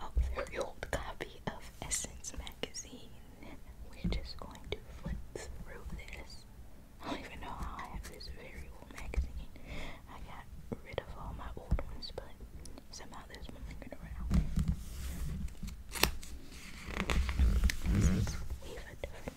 have very old copy of Essence magazine. We're just going to flip through this. I don't even know how I have this very old magazine. I got rid of all my old ones, but somehow there's one lingering around. we have a different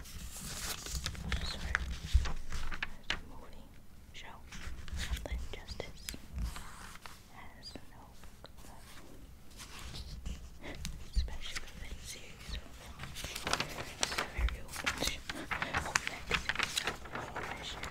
So, as movie show, something justice has no love, especially it's a very old hope next to from Anybody who's good with nature.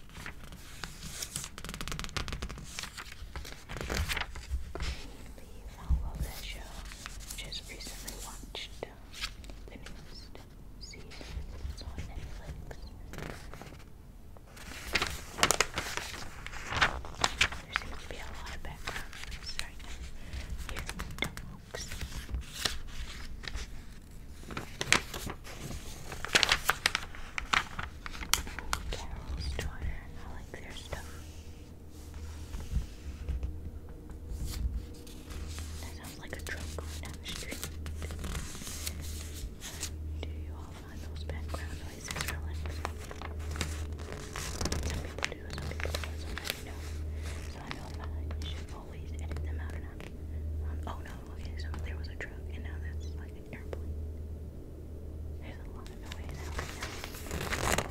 The Fowler Show just recently watched the newest season. on Netflix. There seems to be a lot of background noise right now. Here, dogs. Carol's daughter. I like their stuff. That sounds like a truck going down the street. Do you all find those background noises relaxing? Some people do, some people don't, sometimes no. So I know that I should always edit them out and out. Um, oh no, okay, so there was a truck and now that's like airplane. There's a lot of noise now.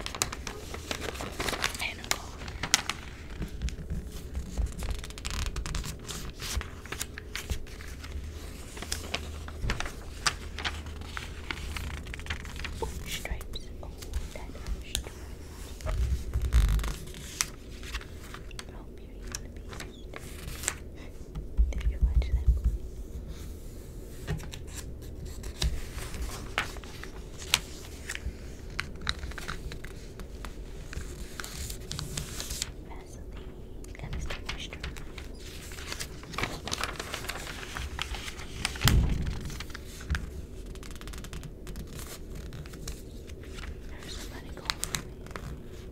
And stripes. Oh, that stripes. Oh, beauty did you watch that movie? Vaseline, that is the moisturizer. There's somebody calling me.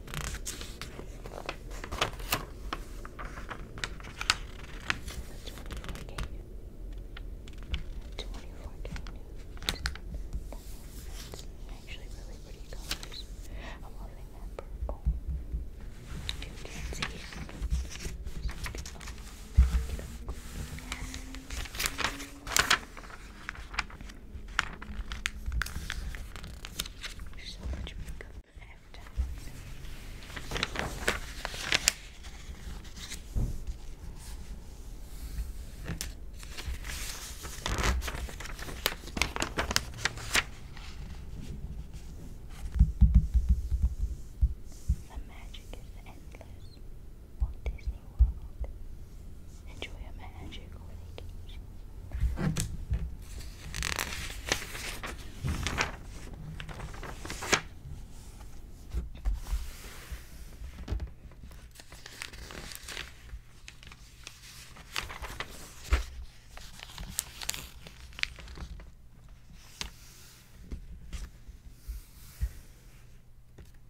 actually really pretty colors. I'm loving that purple. You can there's so The magic is endless. What is Disney World. Enjoy a magical vacation.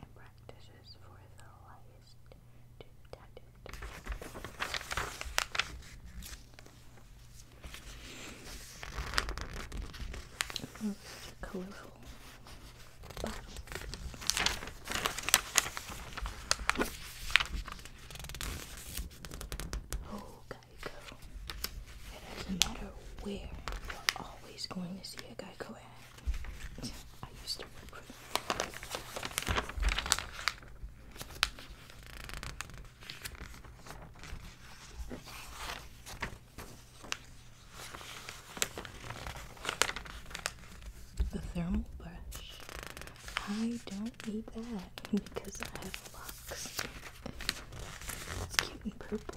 and practices for the highest to detect it. Most colorful bottle. Oh, it doesn't matter where, you're always going to see a Geico ad. I used to work for them. The thermal brush. I don't need that because I have locks. It's cute purple.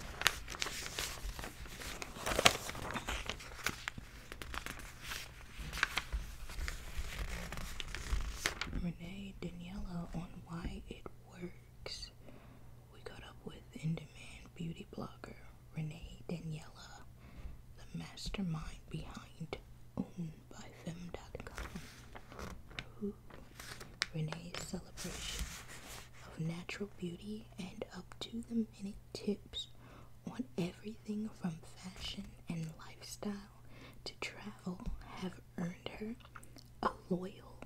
Renee Daniela on why it works. We got up with in demand beauty blogger Renee Daniela, the mastermind behind owned by fem.com, who Renee's celebration of natural beauty and up to the minute tips on everything from fashion and lifestyle to travel have earned her a loyal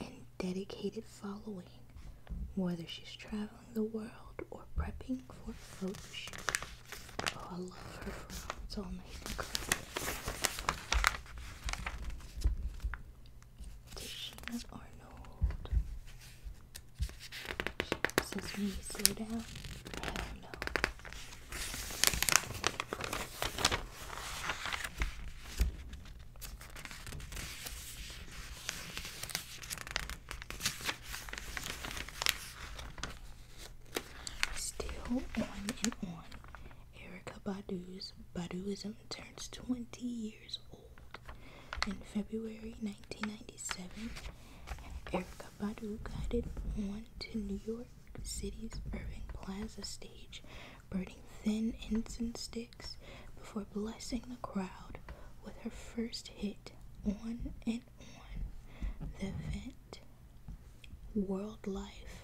and dedicated following, whether she's traveling the world or prepping for a photo shoot. Oh, I love her frowns all nice Sheena Arnold. says, me slow down? Hell no. Still on and on. Erica Badu's Baduism turns 20 years old in February 1997. Erica Badu guided one to New York City's Irving Plaza stage, burning thin incense sticks before blessing the crowd with her first hit, On and On. The event, World Life,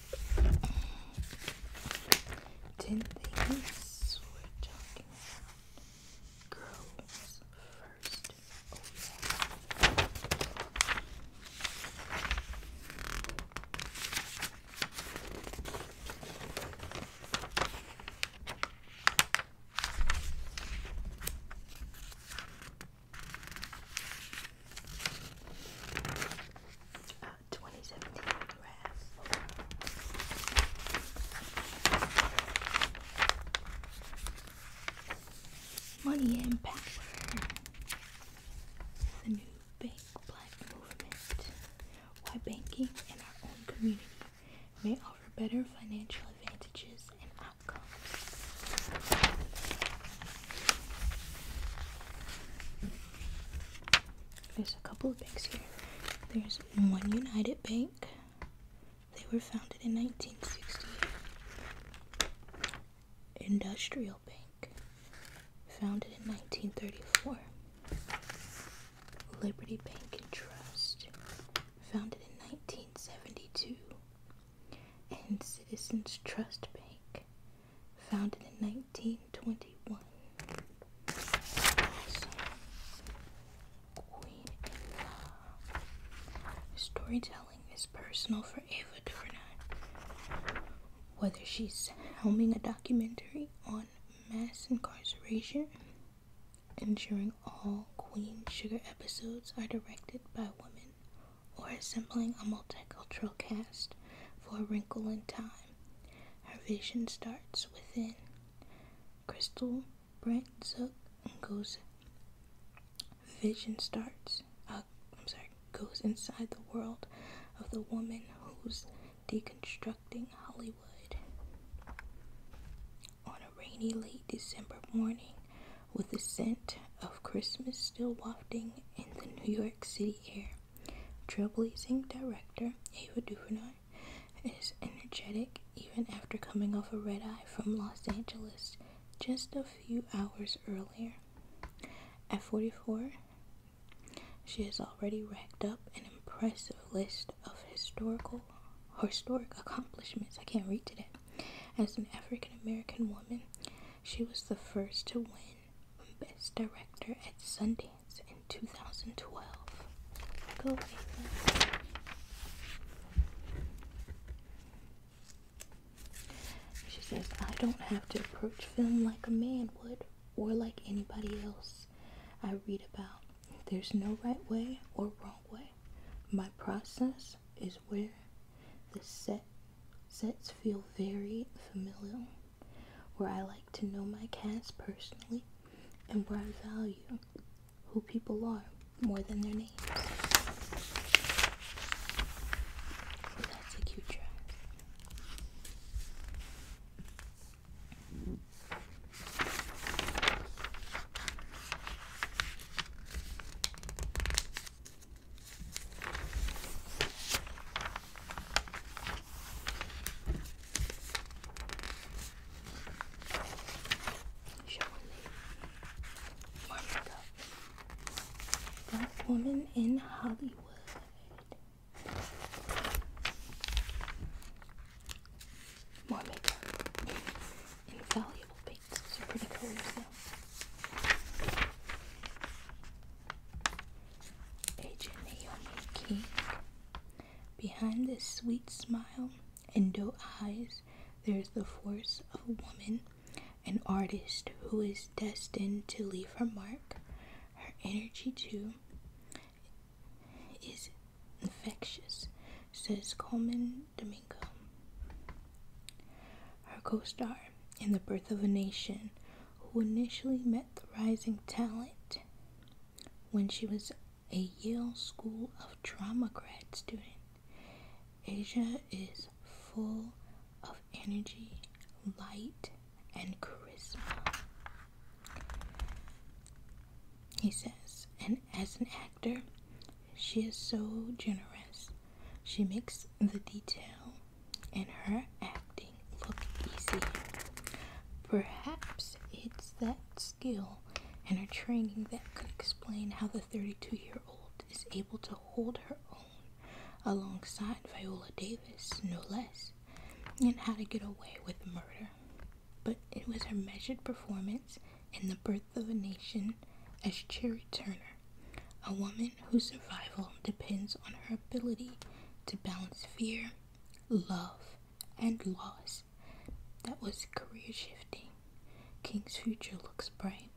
Ten things we're talking about. Girls first. Oh, uh, 2017 rare. Money and The new Bank Black Movement. Why banking in our own community may offer better financial advantages and outcomes. There's a couple of banks here. There's One United Bank. They were founded in 1960. Industrial Bank, founded in 1934. Liberty Bank and Trust, founded in 1972. And Citizens Trust Bank, founded in 1921. Queen Storytelling is personal for Ava DuVernay. Whether she's helming a documentary on mass incarceration, ensuring all Queen Sugar episodes are directed by women or assembling a multicultural cast for a wrinkle in time. Her vision starts within. Crystal, Brent, up and goes. Vision starts. Uh, I'm sorry, goes inside the world of the woman who's deconstructing Hollywood. On a rainy late December morning, with the scent of Christmas still wafting in the New York City air. Trailblazing director Ava DuVernay is energetic even after coming off a red eye from Los Angeles just a few hours earlier. At 44, she has already racked up an impressive list of historical historic accomplishments. I can't read today. As an African American woman, she was the first to win Best Director at Sundance in 2012. She says, I don't have to approach film like a man would or like anybody else I read about. There's no right way or wrong way. My process is where the set Sets feel very familial, where I like to know my cast personally and where I value who people are more than their names. that's a cute dress. Showing Black woman in Hollywood. More makeup. Invaluable white. are pretty colors though. Agent Naomi King. Behind this sweet smile and doe eyes, there is the force of a woman, an artist who is destined to leave her mark. Her energy, too, is infectious, says Coleman Domingo. Her co star in The Birth of a Nation, who initially met the rising talent when she was a Yale School of Drama grad student. Asia is full of energy, light, and charisma. He says, and as an actor, she is so generous. She makes the detail in her acting look easy. Perhaps it's that skill and her training that can explain how the 32 year old is able to hold her own alongside Viola Davis, no less, and how to get away with murder. But it was her measured performance in The Birth of a Nation as Cherry Turner a woman whose survival depends on her ability to balance fear, love, and loss. That was career shifting. King's future looks bright,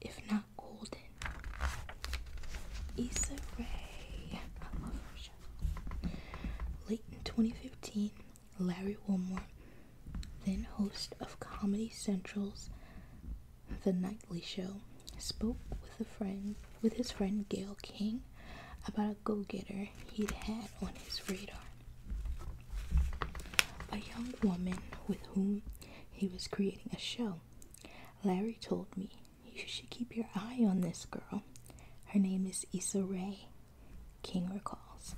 if not golden. Issa Rae, Late in 2015, Larry Wilmore, then host of Comedy Central's the Nightly Show spoke with a friend with his friend Gail King about a go-getter he'd had on his radar. A young woman with whom he was creating a show. Larry told me you should keep your eye on this girl. Her name is Issa Rae, King recalls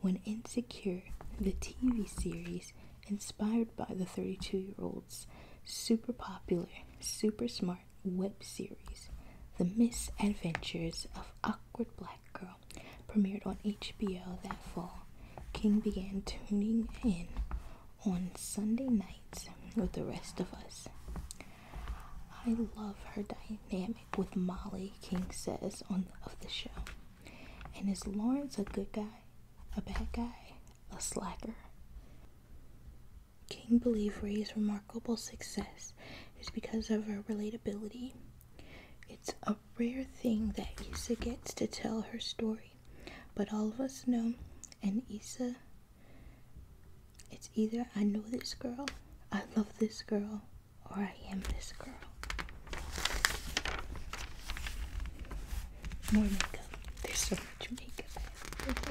when Insecure, the TV series inspired by the 32 year old's super popular, super smart web series, The Misadventures of Awkward Black Girl, premiered on HBO that fall, King began tuning in on Sunday nights with the rest of us. I love her dynamic with Molly, King says on of the show. And is Lawrence a good guy, a bad guy, a slacker? King believed Ray's remarkable success is because of her relatability. It's a rare thing that Issa gets to tell her story, but all of us know, and Issa, it's either I know this girl, I love this girl, or I am this girl. More makeup. There's so much makeup.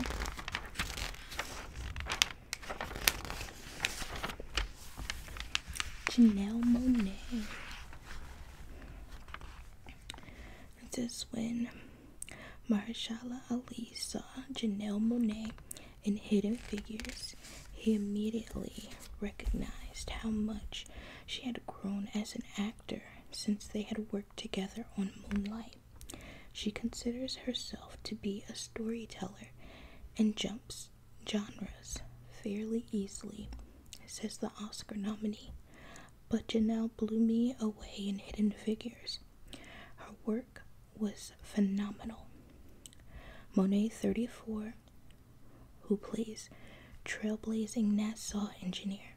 Janelle Monet. It says when Mahershala Ali saw Janelle Monet in Hidden Figures, he immediately recognized how much she had grown as an actor since they had worked together on Moonlight. She considers herself to be a storyteller and jumps genres fairly easily, says the Oscar nominee. But Janelle blew me away in Hidden Figures. Her work was phenomenal. Monet 34 who plays trailblazing NASA engineer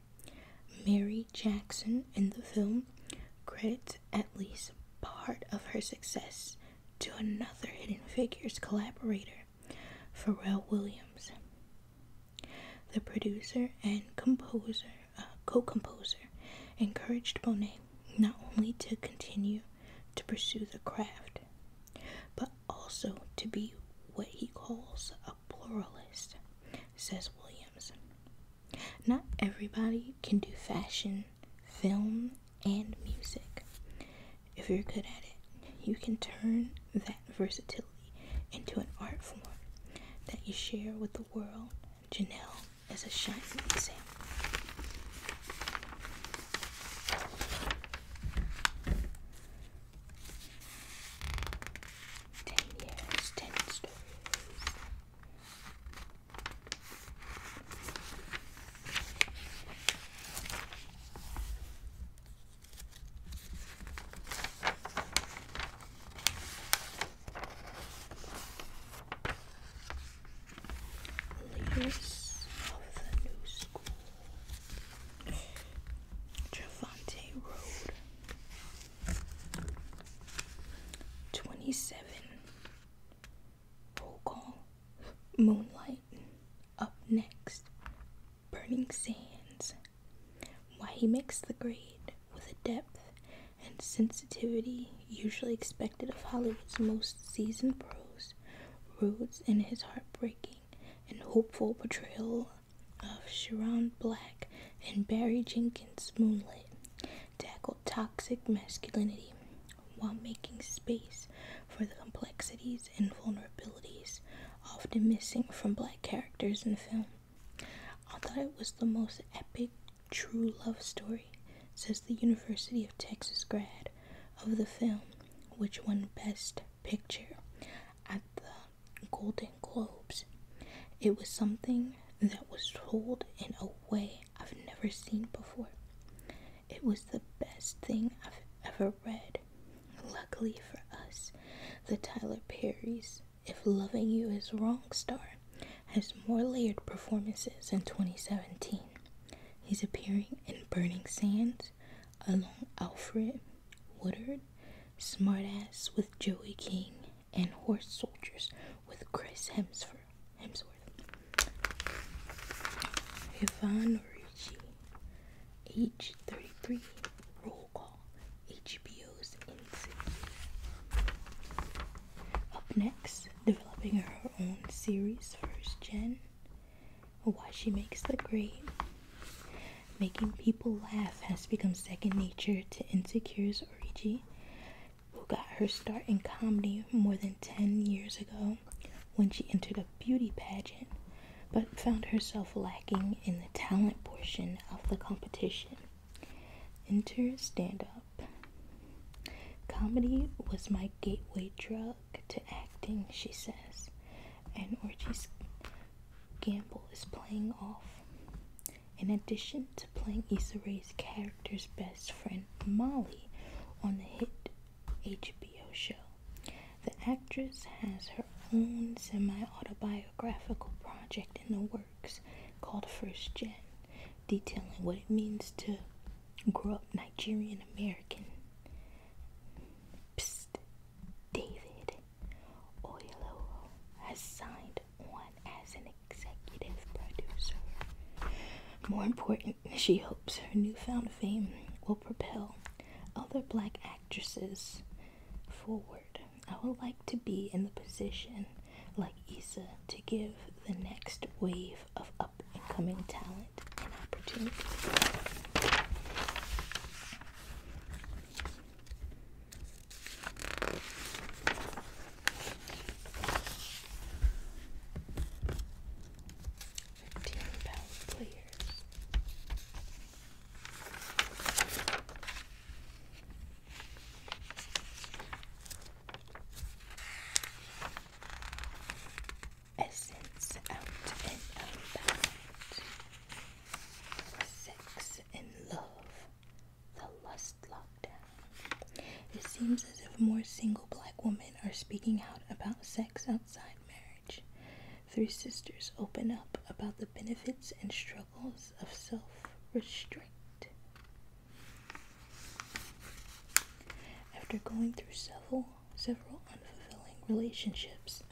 Mary Jackson in the film, credits at least part of her success to another Hidden Figures collaborator, Pharrell Williams. The producer and composer, uh, co-composer, encouraged Bonet not only to continue to pursue the craft, but also to be what he calls a pluralist, says Williams. Not everybody can do fashion, film, and music. If you're good at it, you can turn that versatility into an art form that you share with the world. Janelle is a shining example. Ten years, ten stories. Leaders of the news Trevante Road, twenty seven. Roll Moonlight. Up next, Burning Sands. Why he makes the grade with a depth and sensitivity usually expected of Hollywood's most seasoned pros, Rhodes in his heartbreaking and hopeful portrayal of Sharon Black in Barry Jenkins' Moonlit tackled toxic masculinity while making space for the complexities and vulnerabilities often missing from black characters in film. I thought it was the most epic true love story, says the University of Texas grad of the film, which won Best Picture at the Golden Globes. It was something that was told in a way I've never seen before. It was the best thing I've ever read. Luckily for us, the Tyler Perry's If Loving You Is Wrong star has more layered performances in 2017. He's appearing in Burning Sands along Alfred Woodard, *Smart Ass* with Joey King, and Horse Soldiers with Chris Hemsworth. Hemsworth. Yvonne Ricci, age 33, roll call, HBO's NC. Up next, developing her own series, First Gen why she makes the grade. Making people laugh has become second nature to Insecure's Origi, who got her start in comedy more than 10 years ago when she entered a beauty pageant, but found herself lacking in the talent portion of the competition. Enter stand up. Comedy was my gateway drug to acting, she says, and Orgy's gamble is playing off. In addition to playing Issa Rae's character's best friend, Molly, on the hit HBO show, the actress has her own semi autobiographical project in the works called First Gen, detailing what it means to grew up Nigerian American. David Oyelowo has signed on as an executive producer. More important, she hopes her newfound fame will propel other black actresses forward. I would like to be in the position like Issa to give the next wave of up and coming talent it an opportunity. Fifteen pound players essence out and unbound. Sex and love, the lust lockdown. It seems as if more single black women are speaking out about sex outside marriage. Three sisters open up about the benefits and struggles of self restraint. After going through several several unfulfilling relationships,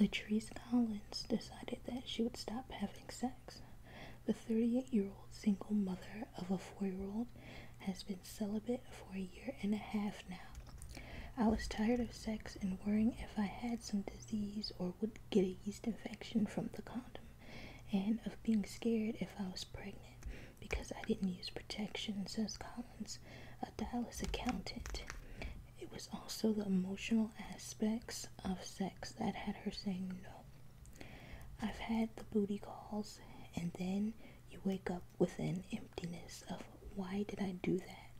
Latrice Collins decided that she would stop having sex. The 38-year-old single mother of a four-year-old has been celibate for a year and a half now. I was tired of sex and worrying if I had some disease or would get a yeast infection from the condom, and of being scared if I was pregnant because I didn't use protection, says Collins, a Dallas accountant. It was also the emotional aspects of sex that had her saying no. I've had the booty calls, and then you wake up with an emptiness of why did I do that?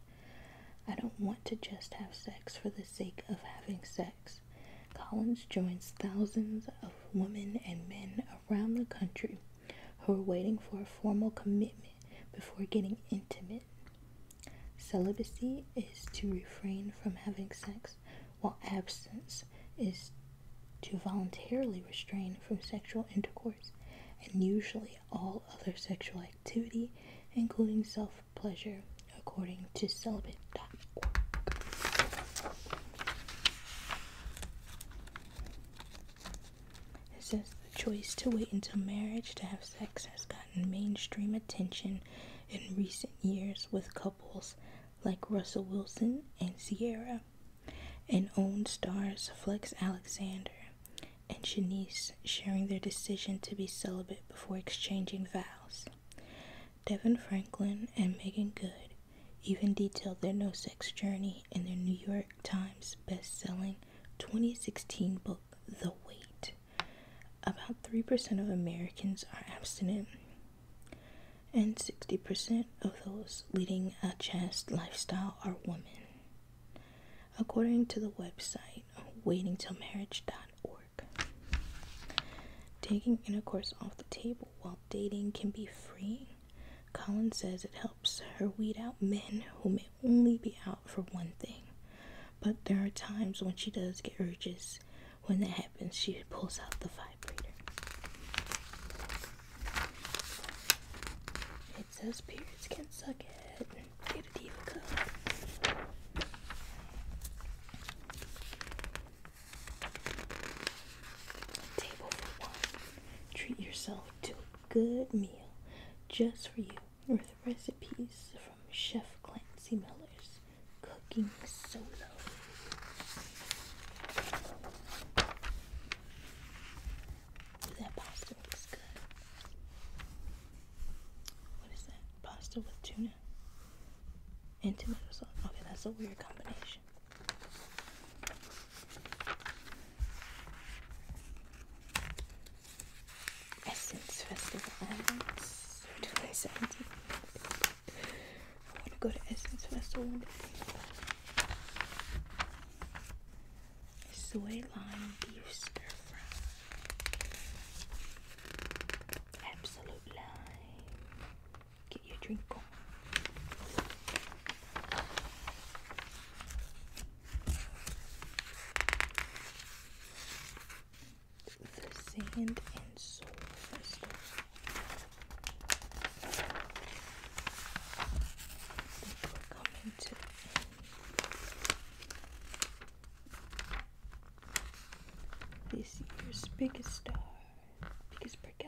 I don't want to just have sex for the sake of having sex. Collins joins thousands of women and men around the country who are waiting for a formal commitment before getting intimate. Celibacy is to refrain from having sex, while absence is to voluntarily restrain from sexual intercourse and usually all other sexual activity, including self pleasure, according to celibate.org. This is the choice to wait until marriage to have sex has gotten mainstream attention in recent years with couples like Russell Wilson and Sierra, and own stars Flex Alexander and Shanice sharing their decision to be celibate before exchanging vows. Devin Franklin and Megan Good even detailed their no sex journey in their New York Times best-selling 2016 book The Wait. About 3% of Americans are abstinent and 60% of those leading a chast lifestyle are women. According to the website *Waiting Till waitingtillmarriage.org, taking intercourse off the table while dating can be freeing, Colin says it helps her weed out men who may only be out for one thing. But there are times when she does get urges. When that happens, she pulls out the vibrator. It says periods can suck it. Get a diva cup. Table for one. Treat yourself to a good meal just for you with recipes from Chef Clancy Miller's Cooking Solo. That pasta looks good. What is that? Pasta with tuna and tomato sauce. Okay, that's a weird combination. Essence Festival 2017. I want to go to Essence Festival one day. Soy lime beef stir fry. Absolute lime. Get your drink. On. The sand and soul This year's biggest star, biggest brick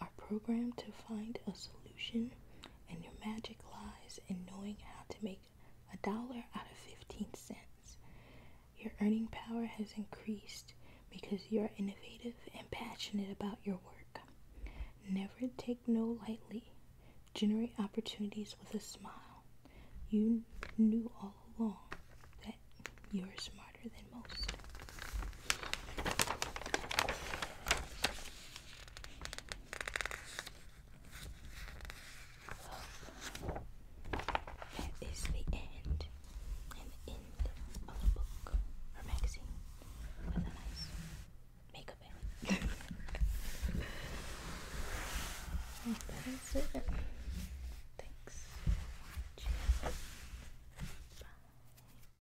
are programmed to find a solution, and your magic lies in knowing how to make a dollar out of 15 cents. Your earning power has increased because you're innovative and passionate about your work. Never take no lightly. Generate opportunities with a smile. You knew all along that you're smarter than most that is the end and the end of a book or magazine with a nice makeup in that is it. Thanks Bye.